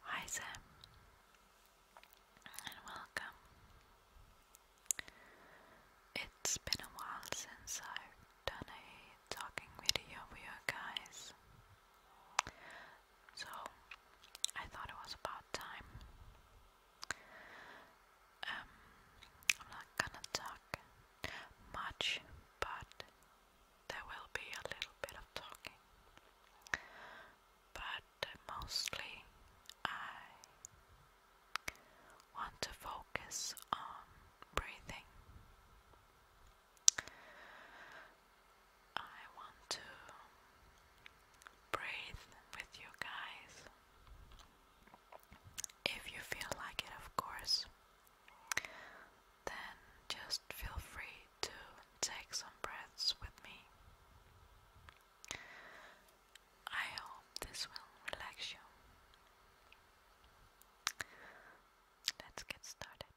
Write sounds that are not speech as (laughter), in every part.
Hi, Sam, and welcome. It's been a while since I've done a talking video for you guys, so I thought it was about time. Um, I'm not gonna talk much, but there will be a little bit of talking. But uh, mostly, I want to focus on breathing. I want to breathe with you guys. If you feel like it, of course, then just feel free to take some breaths with me. I hope this will relax you. Let's get started.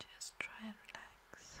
Just try and relax.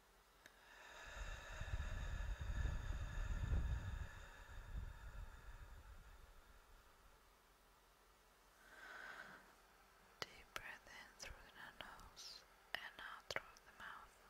Deep breath in through the nose and out through the mouth.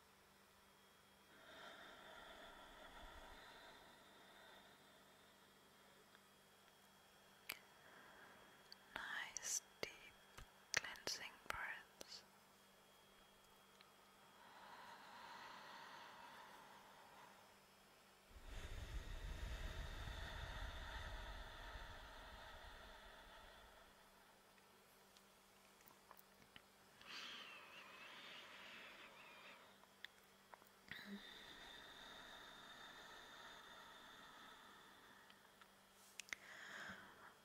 Nice deep cleansing breaths.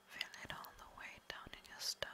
Feel it all the way down in your stomach.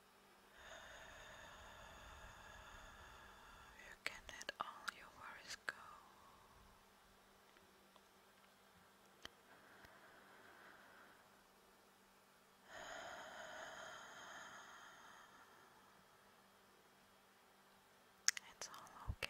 You can let all your worries go. It's all okay.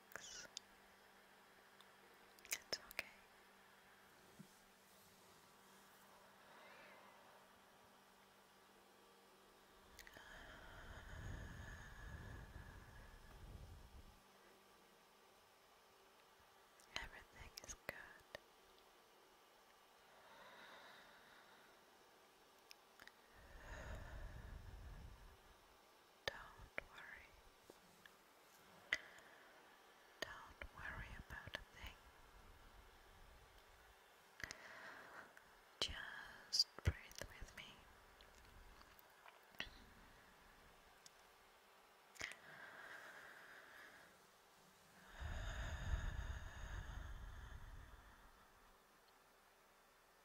relax. It's okay. Everything is good. Don't worry. Don't worry about a thing. Just breathe with me.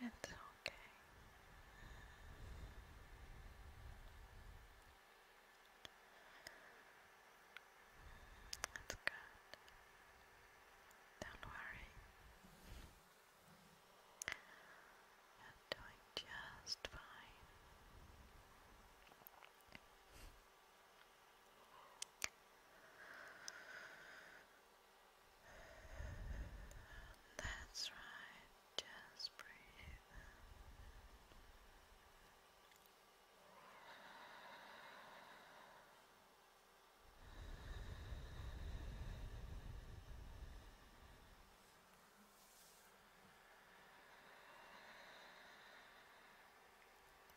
It's okay. That's good. Don't worry. You're doing just fine. That's right, just breathe. Good.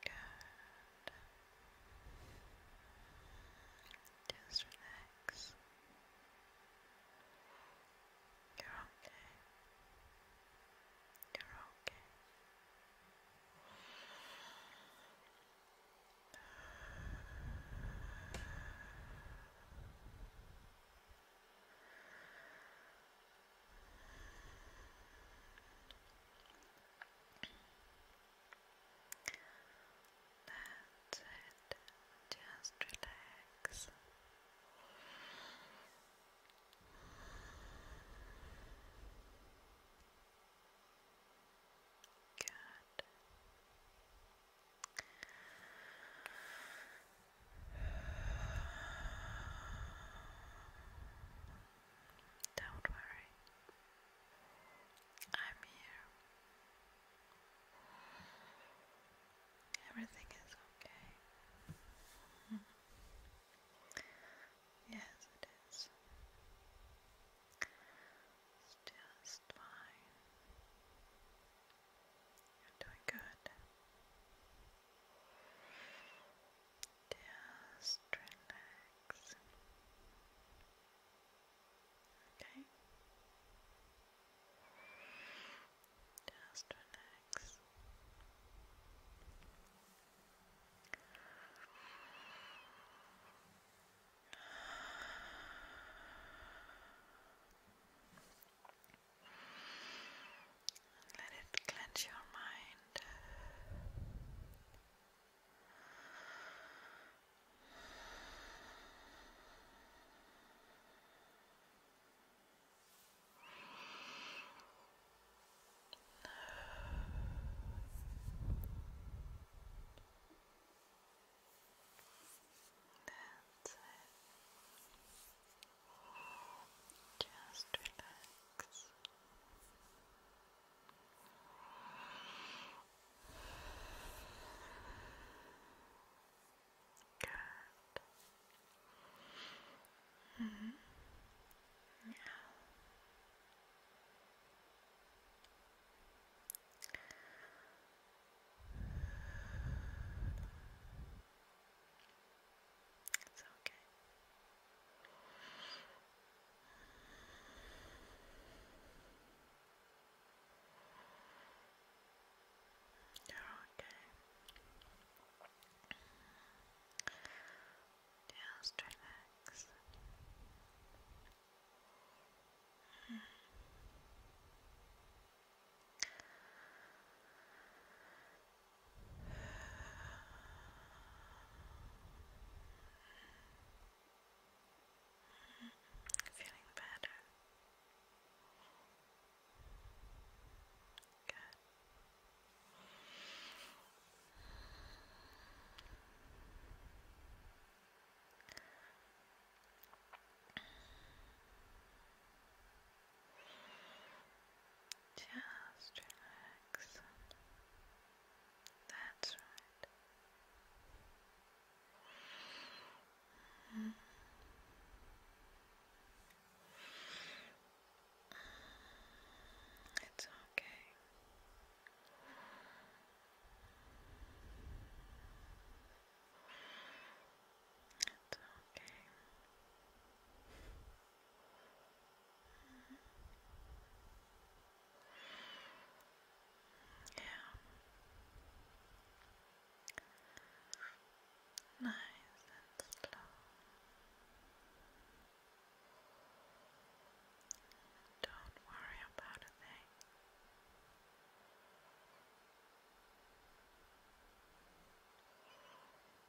Good. Just relax. You're okay. You're okay. Good. That's it. Just relax. Good. Don't worry. I'm here. Everything is okay. (laughs) yes, it is. It's just fine. You're doing good. Just relax. Okay. Just Let it cleanse your mind. That's it. Just relax. Relax. Good. Mm -hmm. Now. It's okay. They're okay. Just relax. Mm. Feeling better. Good. Just relax. That's right. Mm-hmm. It's okay. It's okay. Yeah. Nice and slow. Don't worry about a thing. Okay.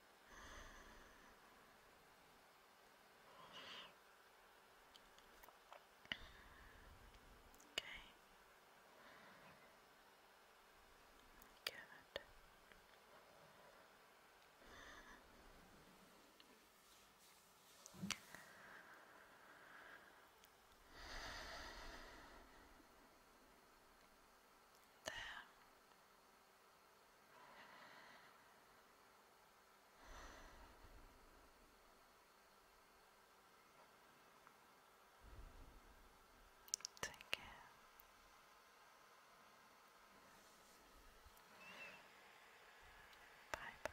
Good. There. Take care. Bye bye.